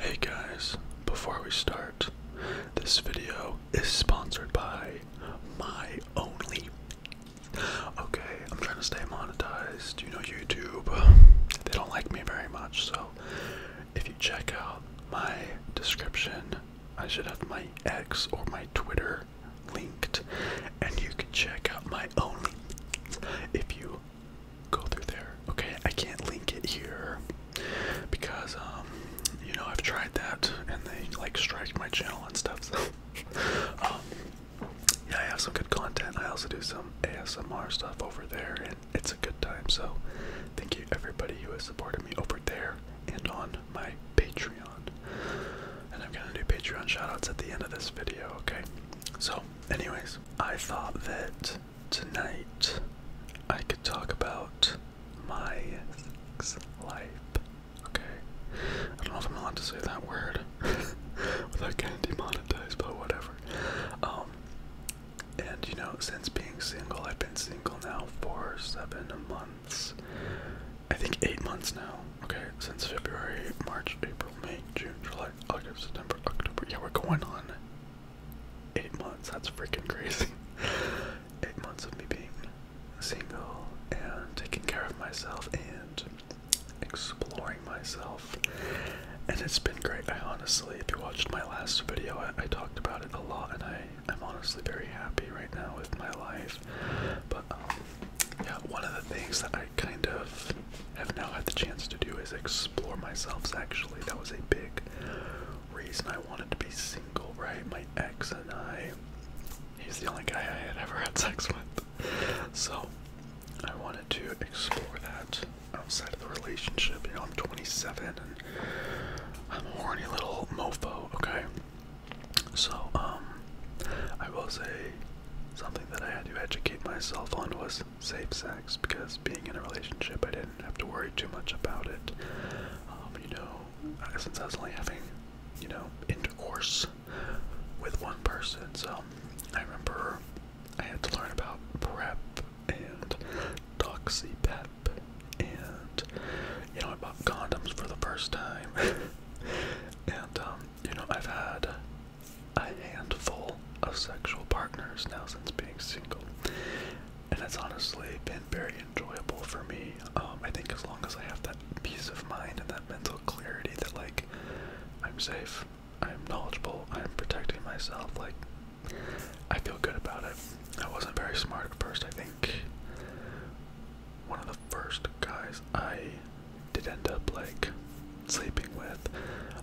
Hey guys, before we start, this video is sponsored by my only. Okay, I'm trying to stay monetized. You know, YouTube, they don't like me very much, so if you check out my description, I should have my X or my Twitter linked, and you can check out my only. If you go through there. Okay, I can't link it here because um, you know I've tried that and they like strike my channel and stuff. So um, yeah, I have some good content. I also do some ASMR stuff over there, and it's a good time. So thank you everybody who has supported me over there and on my Patreon. And I'm gonna do Patreon shoutouts at the end of this video. Okay. So, anyways, I thought that Tonight, I could talk about my life. Okay? I don't know if I'm allowed to say that word without getting demonetized, but whatever. Um, and you know, since being single, I've been single now for seven months. I think eight months now. Okay, since February, March, April, May, June, July, August, September, October. Yeah, we're going on Eight months, that's freaking crazy. Eight months of me being single and taking care of myself and exploring myself. And it's been great. I honestly, if you watched my last video, I, talked about it a lot and I, I'm honestly very happy right now with my life. But um, yeah, one of the things that I kind of have now had the chance to do is explore myself. Actually, that was a big reason I wanted to be single, right? My ex and I, he's the only guy I had ever had sex with. So I wanted to explore that outside of the relationship. You know, I'm 27 and I'm a horny little mofo, okay? So, um, I will say something that I had to educate myself on was sex, safe sex, because being in a relationship, I didn't have to worry too much about it. Um, you know, uh, since I was only having, you know, intercourse with one person, so I remember I had to learn about prep and toxipep, and you know, I bought condoms for the first time, and um, you know, I've had a handful of sexual partners now since being single. And it's honestly been very enjoyable for me. Um, I think as long as I have that peace of mind and that mental clarity that, like, I'm safe, I'm knowledgeable, I'm protecting myself, like, I feel good about it. I wasn't very smart at first. I think one of the first guys I did end up, like, sleeping with,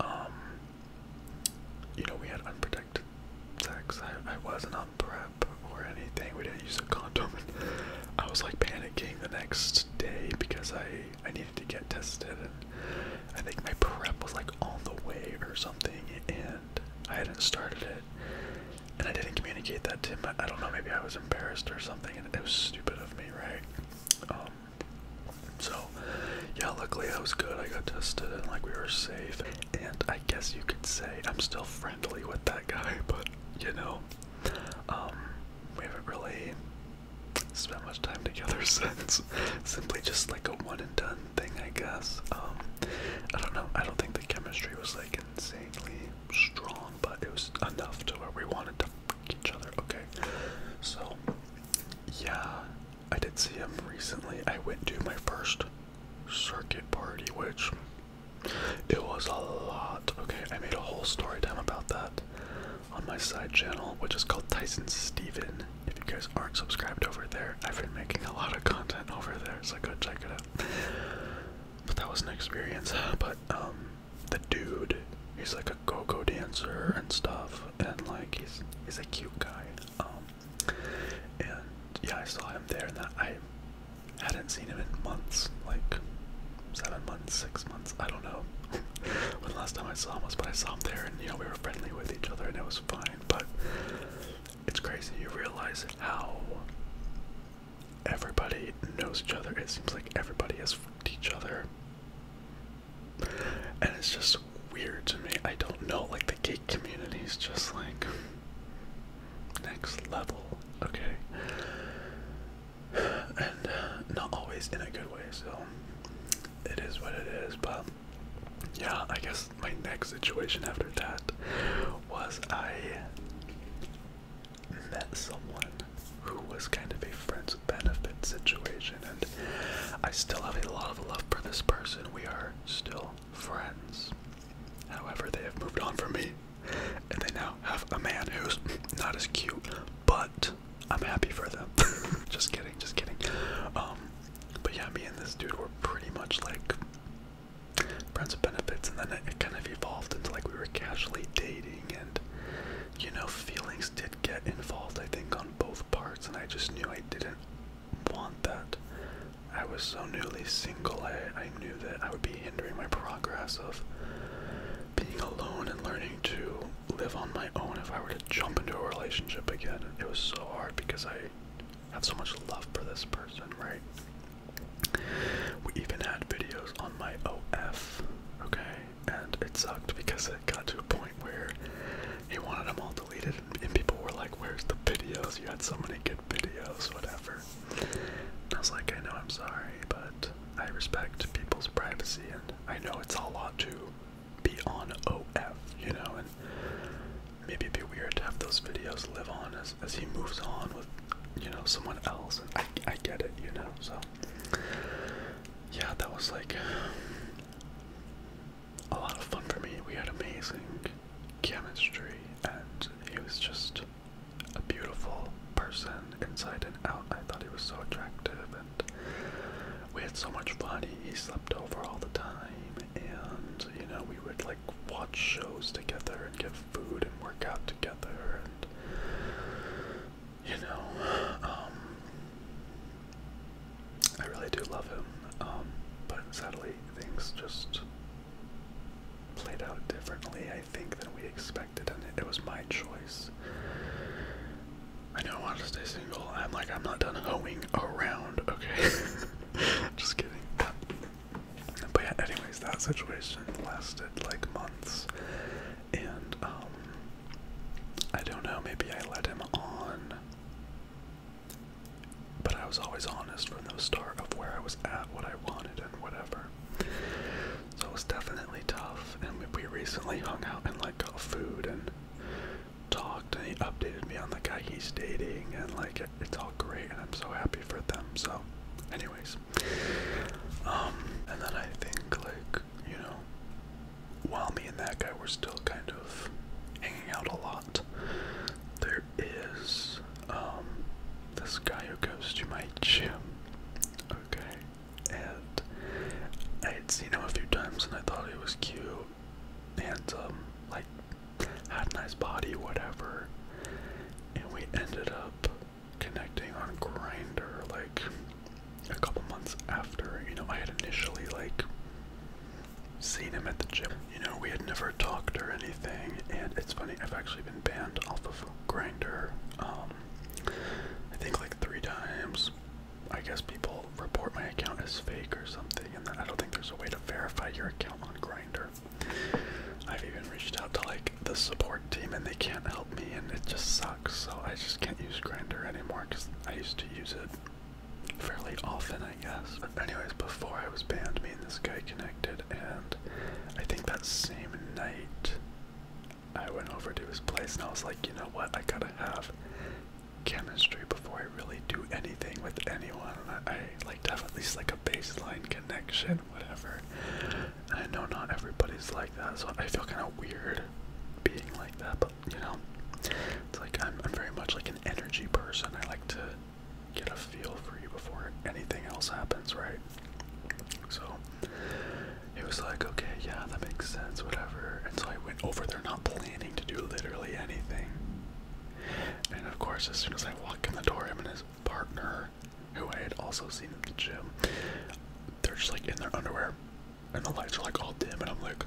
um, you know, we had unprotected sex. I, I wasn't on prep or anything. We didn't use a condom. I was like panicking the next day because I I needed to get tested, I think my prep was like on the way or something, and I hadn't started it, and I didn't communicate that to him. I, I don't know. Maybe I was embarrassed or something, and it was stupid of me, right? Um, so, yeah, luckily I was good. I got tested and like we were safe. And I guess you could say I'm still friendly with that guy, but you know, um, we haven't really spent much time together since. Simply just like a one and done thing, I guess. Um, I don't know. I don't think the chemistry was like insanely strong, but it was enough to where we wanted to fuck each other. Okay, so yeah, I did see him recently. I went to my first circuit party, which it was a lot. Okay, I made a whole story time about that on my side channel, which is called Tyson Steven. If you guys aren't subscribed over there, I've been making a lot of content over there, so go check it out. But that was an experience. But um the dude, he's like a go-go dancer and stuff and like he's he's a cute guy. Um, and yeah, I saw him there, and that I hadn't seen him in months, like seven months, six months, I don't know when the last time I saw him was, but I saw him there, and you know we were friendly with each other, and it was fine. But it's crazy, you realize how everybody knows each other. It seems like everybody has each other and it's just weird to me. I don't know, like the gay community is just like next level, okay? And uh, not always in a good way, so it is what it is, but yeah, I guess my next situation after that was I met someone who was kind of a friends with benefits situation, and I still have a lot of love for this person. We are still friends. However, they have moved on from me, and they now have a man who's not as cute, but I'm happy for them. just kidding, just kidding. Um, but yeah, me and this dude were pretty much like friends with benefits, and then it, kind of evolved into like we were casually dating, and you know, feelings did get involved, I think, on both parts, and I just knew I didn't want that. I was so newly single, I, knew that I would be hindering my progress of being alone and learning to live on my own if I were to jump into a relationship again. It was so hard because I have so much love for this person, right? We even had videos on my OF, okay? and it sucked because it got to a point where he wanted them all deleted, and, and people were like, "Where's the videos? You had so many good videos, whatever." And I was like, "I know, I'm sorry, but I respect people's privacy, and I know it's a lot to be on OF, you know, and maybe it'd be weird to have those videos live on as as he moves on with." you know someone else and I, I get it you know so yeah, that was like a lot of fun for me. We had amazing chemistry, and he was just a beautiful person inside and out. I thought he was so attractive, and we had so much fun. He, he slept over all the time, and you know, we would like watch shows together and get food and work out together, and you know, um, I really do love him, um, but sadly things just played out differently, I think, than we expected, and it, it was my choice. I know I want to stay single. I'm like, I'm not done hoeing around, okay? just kidding. But yeah, anyways, that situation lasted like months, and um I don't know, maybe I let him on. But I was always honest from the start of where I was at, what I wanted, and whatever. So it was definitely tough. And we recently hung out and like got food and talked, and he updated me on the guy he's dating, and like it's all great, and I'm so happy for them. So, anyways, um, and then I think like you know, while me and that guy were still kind of hanging out a lot, there is um, this guy who goes to my gym. Okay, and I had seen him a few times and I thought he was cute, handsome, like had a nice body, whatever. And we ended up connecting on Grinder like a couple months after, you know, I had initially like seen him at the gym. You know, we had never talked or anything, and it's funny, I've actually been banned off of Grinder. Um I think like three times. I guess people report my account as fake or something, and then I don't think there's a way to verify your account on Grinder. I've even reached out to like the support team and they can't help me and it just sucks so I just can't use Grinder anymore because I used to use it fairly often, I guess. But anyways, before I was banned, me and this guy connected, and I think that same night I went over to his place and I was like, you know what, I gotta have chemistry before I really do anything with anyone. I, I like to have at least like a baseline connection, whatever. I know not everybody's like that, so I feel kind of weird being like that, but you know, it's like I'm, I'm very much like an energy person. I like to get a feel for you before anything else happens, right? So it was like, okay, yeah, that makes sense, whatever. And so I went over there, not planning to do literally anything. And of course, as soon as I walk in the door, him and his partner, who I had also seen at the gym, they're just like in their underwear, and the lights are like all dim and I'm like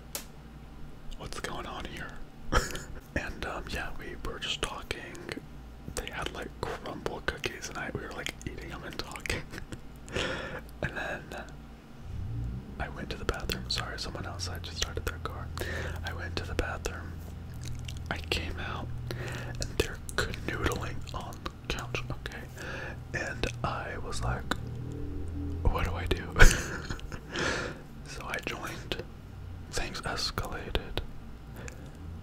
what's going on here and um yeah we were just talking they had like crumble cookies and I we were like eating them and talking and then I went to the bathroom sorry someone outside just started their car I went to the bathroom I came out and they're canoodling on couch, okay. And I was like, what do I do? so I joined. Things escalated.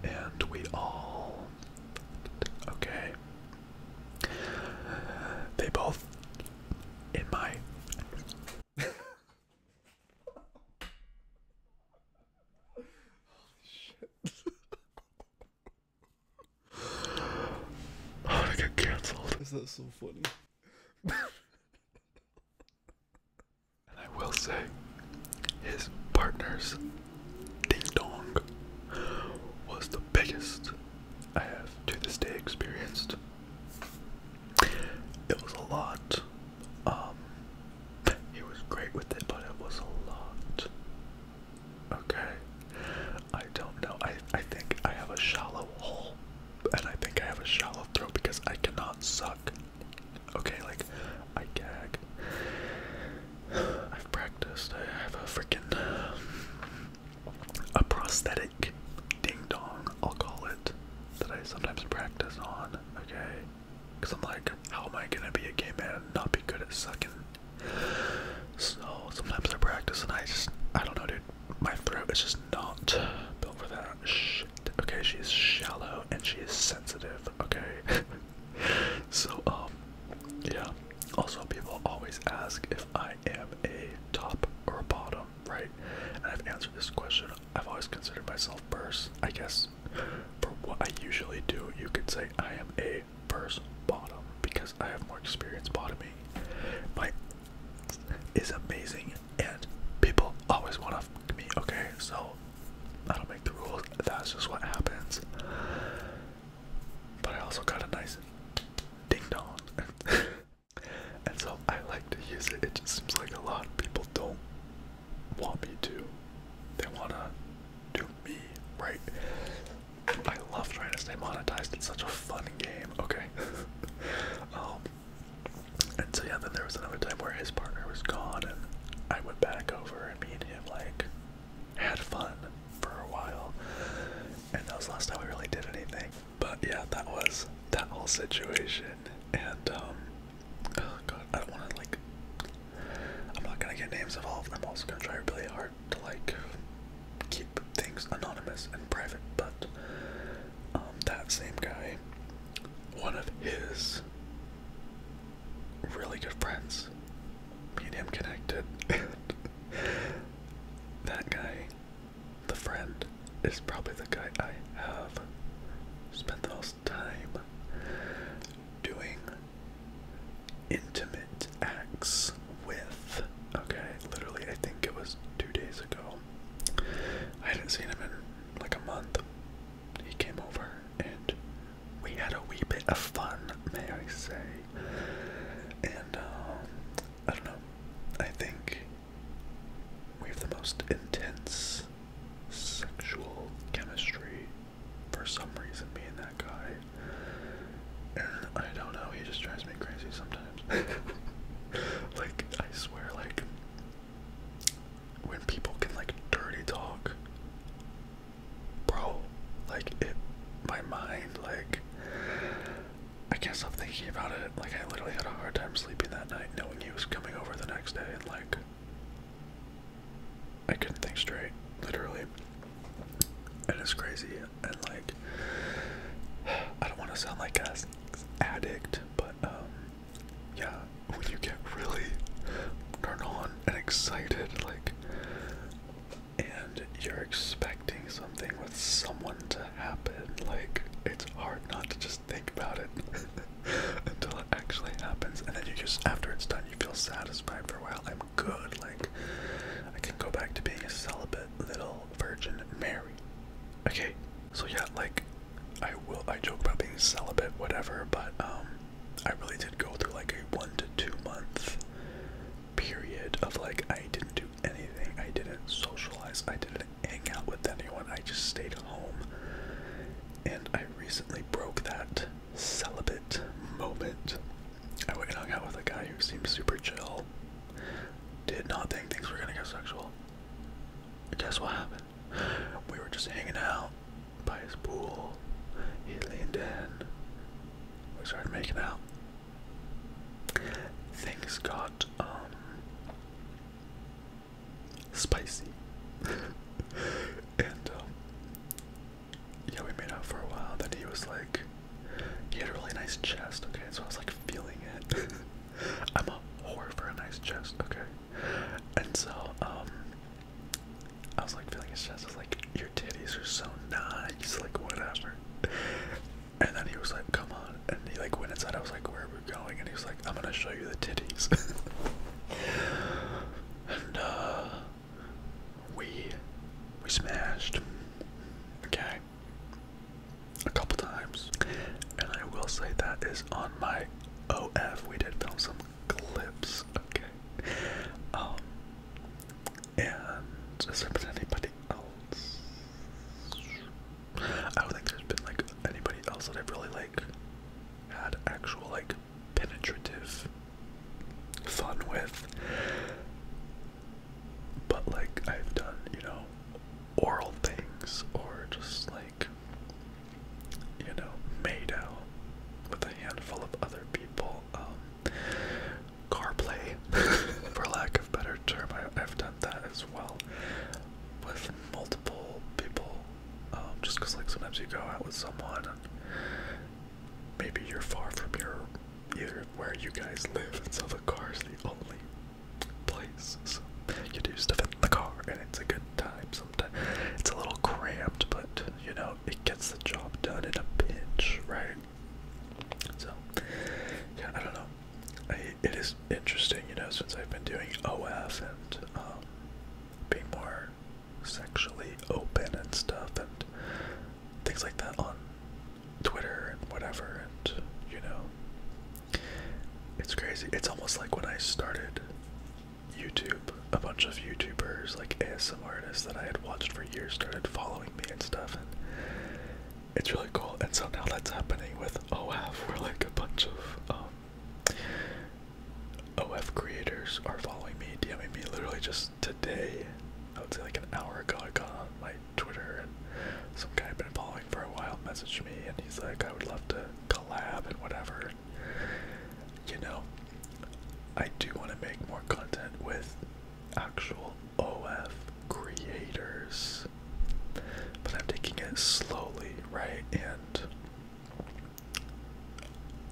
And we all. Okay. They both. In my. shit. i oh, get cancelled. Is that so funny? I will say, his partner's ding dong was the biggest I have to this day experienced. It was a lot. Um, he was great with it, but it was a lot. Okay. I don't know. I, I think I have a shallow hole. And I think I have a shallow throat because I cannot suck. Okay, like, I gag. I've practiced. I have a freaking. a prosthetic ding dong, I'll call it, that I sometimes practice on, okay? Because I'm like, how am I gonna be a gay man and not be good at sucking so sometimes I practice and I just, I don't know, dude. My throat is just not built for that shit. Okay, she's shallow and she is sensitive. Okay. so, um, yeah. Also, people always ask if I am a top or a bottom, right? And I've answered this question. I've always considered myself first. I guess for what I usually do, you could say I am a first bottom because I have more experience bottoming. My is amazing and people always want to fuck me, okay? So I don't make the rules, that's just what happens. But I also got a nice ding dong. and so I like to use it. It just seems like a lot of people don't want me to. They wanna to me, right? I love trying to stay monetized. It's such a fun game. Okay. um, and so yeah, then there was another time where his partner was gone, and I went back over, and meet him like had fun for a while. And that was the last time we really did anything. But yeah, that was that whole situation. And um, oh, god, I don't want to like. I'm not gonna get names involved. I'm also gonna try really hard to like keep things anonymous and private, but um, that same guy, one of his really good friends, Medium connected, that guy, the friend, is probably the guy I have spent the most time doing intimate acts with. Okay, literally, I think it was two days ago. I hadn't seen him in like a month. He came over and we had a wee bit of fun, may I say. And, um, I don't know. I think we have the most intense sexual chemistry for some reason being that guy. And I don't know, he just drives me crazy sometimes. like, I swear, like, when people can, like, dirty talk, bro, like, it, my mind, like, I can't stop thinking about it. Like, I literally had a hard time sleeping that night knowing he was coming over the next day and, like, I couldn't think straight, literally. it's crazy, and like, I don't want to sound like an addict, but um, yeah, when you get really turned on and excited, like, and you're expecting something with someone to happen, like, it's hard not to just think about it until it actually happens, and then you just, after it's done, you feel satisfied for a while good. Like, I can go back to being a celibate little Virgin Mary. Okay, so yeah, like, I will, I joke about being celibate, whatever, but, um, I really did go through like a one to two month period of like, I didn't do anything, I didn't socialize, I didn't hang out with anyone, I just stayed home. And I recently broke that celibate moment I went and hung out with a guy who seemed super chill. Did not think things were gonna get sexual. Guess what happened? We were just hanging out by his pool. He leaned in. We started making out. Things got um, spicy. and um, yeah, we made out for a while. Then he was like, he had a really nice chest, okay? So I was like feeling it. I'm a whore for a nice chest, okay? And so, um, I was like feeling his chest. I was like, your titties are so nice, like whatever. And then he was like, come on. And he like went inside. I was like, where are we going? And he was like, I'm gonna show you the titties. and, uh, we we smashed. Okay. A couple times. And I will say that is on my OF. We did film some clips. Okay. Um and has there been anybody else? I don't think there's been like anybody else that I've really like had actual like penetrative fun with. But like I've done, you know, oral things or just like you know, made out with a handful of other people. Um play, for lack of better term. I have done that as well with multiple people. Um, just because like sometimes you go out with someone maybe you're far from your either where you guys live, and so the car's the only place. So you do stuff in the car, and it's a good time. Sometimes it's a little cramped, but you know it gets the job done in a pinch, right? So yeah, I don't know. it is interesting, you know, since I've been doing OF and um, being more sexually open and stuff and things like that on Twitter and whatever and you know it's crazy. It's almost like when I started YouTube, a bunch of YouTubers like ASM artists that I had watched for years started following me and stuff and it's really cool and so now that's happening with OF. We're like a bunch of um, OF creators are following me, DMing me literally just today. I would say like an hour ago, I got on my Twitter and some guy I've been following for a while messaged me and he's like, I would love to collab and whatever. You know, I do want to make more content with actual OF creators, but I'm taking it slowly, right? And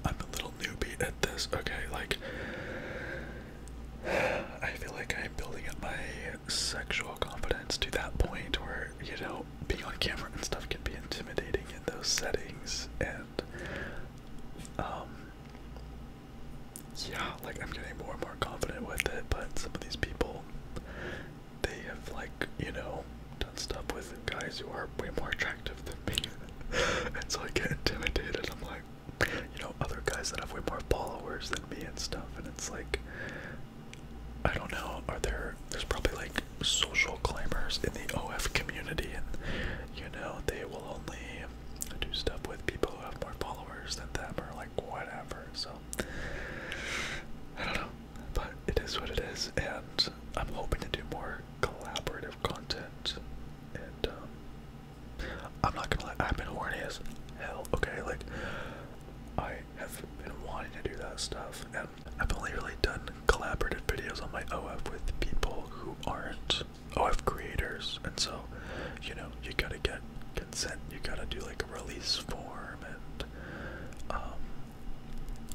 I'm a little newbie at this, okay? Like, I feel like I'm building up my sexual confidence to that point where, you know, being on camera and stuff can be intimidating in those settings. And, um, yeah, like, I'm getting more and more confident with it, but some of these people, they have, like, you know, done stuff with guys who are way more attractive than me. and so I get intimidated. I'm like, you know, other guys that have way more followers than me and stuff. And it's like, I don't know, are there, there's probably like social climbers in the OF community. And, you know, they will only do stuff with people who have more followers than them or like whatever. So, I don't know. But it is what it is. And I'm hoping to do more collaborative content, and um, I'm not gonna lie, I've been horny hell. Okay, like I have been wanting to do that stuff, and I've only really done collaborative videos on my OF with people who aren't OF creators, and so you know you gotta get consent, you gotta do like a release form, and um,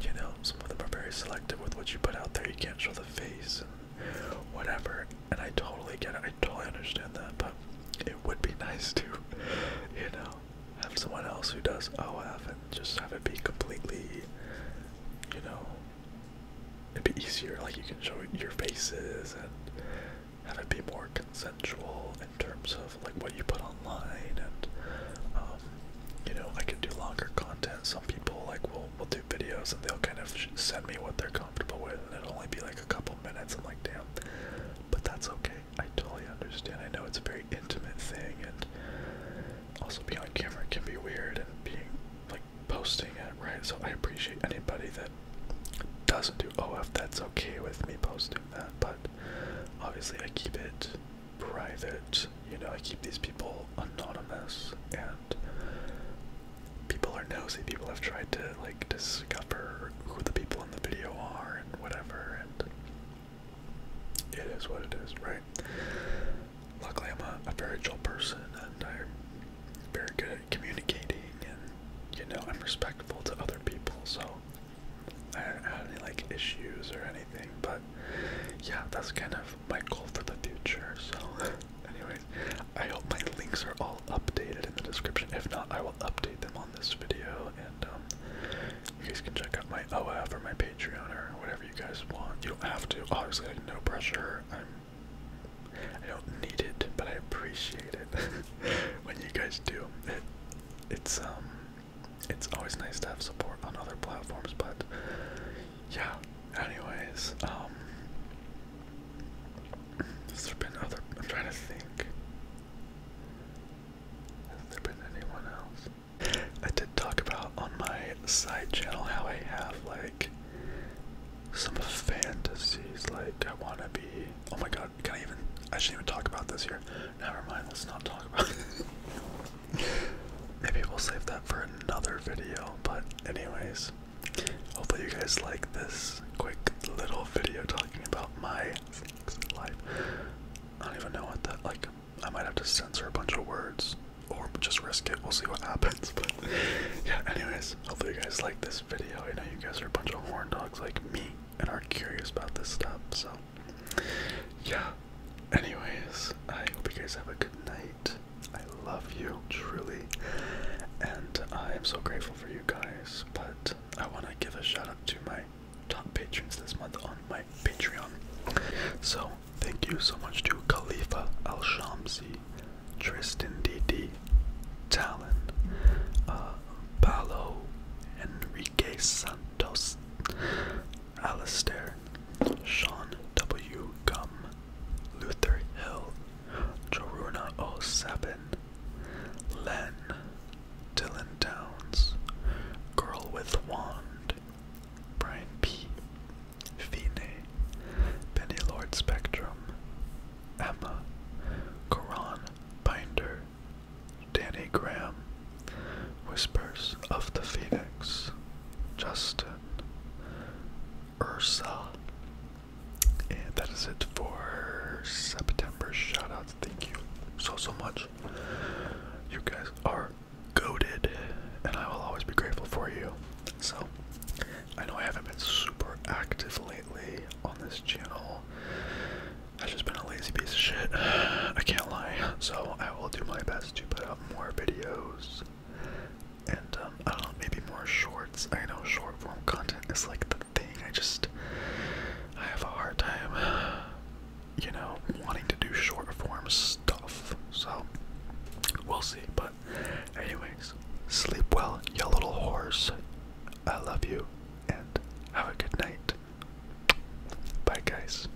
you know some of them are very selective with what you put out there. You can't show the face and whatever. And I totally get it. I totally understand that. But it would be nice to, you know, have someone else who does OF and just have it be completely, you know, it'd be easier. Like you can show your faces and have it be more consensual in terms of like what you put online and, um, you know, I can do longer content. Some people like will we'll, will do videos and they'll kind of send me what they're comfortable with and it'll only be like a couple minutes. I'm like, damn. But that's okay. I totally understand. I know it's a very intimate thing and also being on camera can be weird and being like posting it, right? So I appreciate anybody that doesn't do OF that's okay with me posting that, but obviously I keep it private. You know, I keep these people anonymous, and people are nosy. People have tried to like discover who the people in the video are and whatever, and it is what it is, right? Luckily, I'm a, very chill person, and I'm very good at communicating, and you know, I'm respectful to other people, so I don't have any like issues or anything, but yeah, that's kind of my goal for the future. So, anyways, I hope my links are all updated in the description. If not, I will update them on this video, and um, you guys can check out my OF or my Patreon or whatever you guys want. You don't have to, obviously. Like no pressure. I'm. I don't need it, but I appreciate it when you guys do. it's um, it's always nice to have support on other platforms, but yeah, anyways, um, has there been other, I'm trying to think, has there been anyone else? I did talk about on my side channel how I have, like, some fantasies, like, I want to be, oh my god, can I even, I shouldn't even talk about this here, never mind, let's not talk about it. Maybe we'll save that for another video, but anyways, hopefully you guys like this quick little video talking about my life. I don't even know what that like I might have to censor a bunch of words or just risk it. We'll see what happens. But yeah, anyways, hopefully you guys like this video. I know you guys are a bunch of horn dogs like me and are curious about this stuff, so yeah. Anyways, I hope you guys have a good night. I love you, truly. And I am so grateful for you guys. But I want to give a shout out to my top patrons this month on my Patreon. So, thank you so much to Khalifa Al Shamsi, Tristan DD, Talon, uh, Enrique Santos, Alastair, Sean W. Gum, Luther Hill, Joruna O. Sabin, Len, Dylan Downs, Girl with Wand, Brian P. Fine, Penny Lord Spectrum, Emma, Koran Binder, Danny Graham, Whispers of the Phoenix, Justin, Ursa. And that is it for September shoutouts. Thank you so, so much. You guys are goaded, and I will always be grateful for you. So, I know I haven't been super active lately on this channel. I've just been a lazy piece of shit. I can't lie. So, I will do my best to put up more videos and um, I don't know, maybe more shorts. I know short form content is like the thing. I just I have a hard time, you know, wanting to do short form stuff. So we'll see. But anyways, sleep well, you little horse. I love you and have a good night. Bye guys.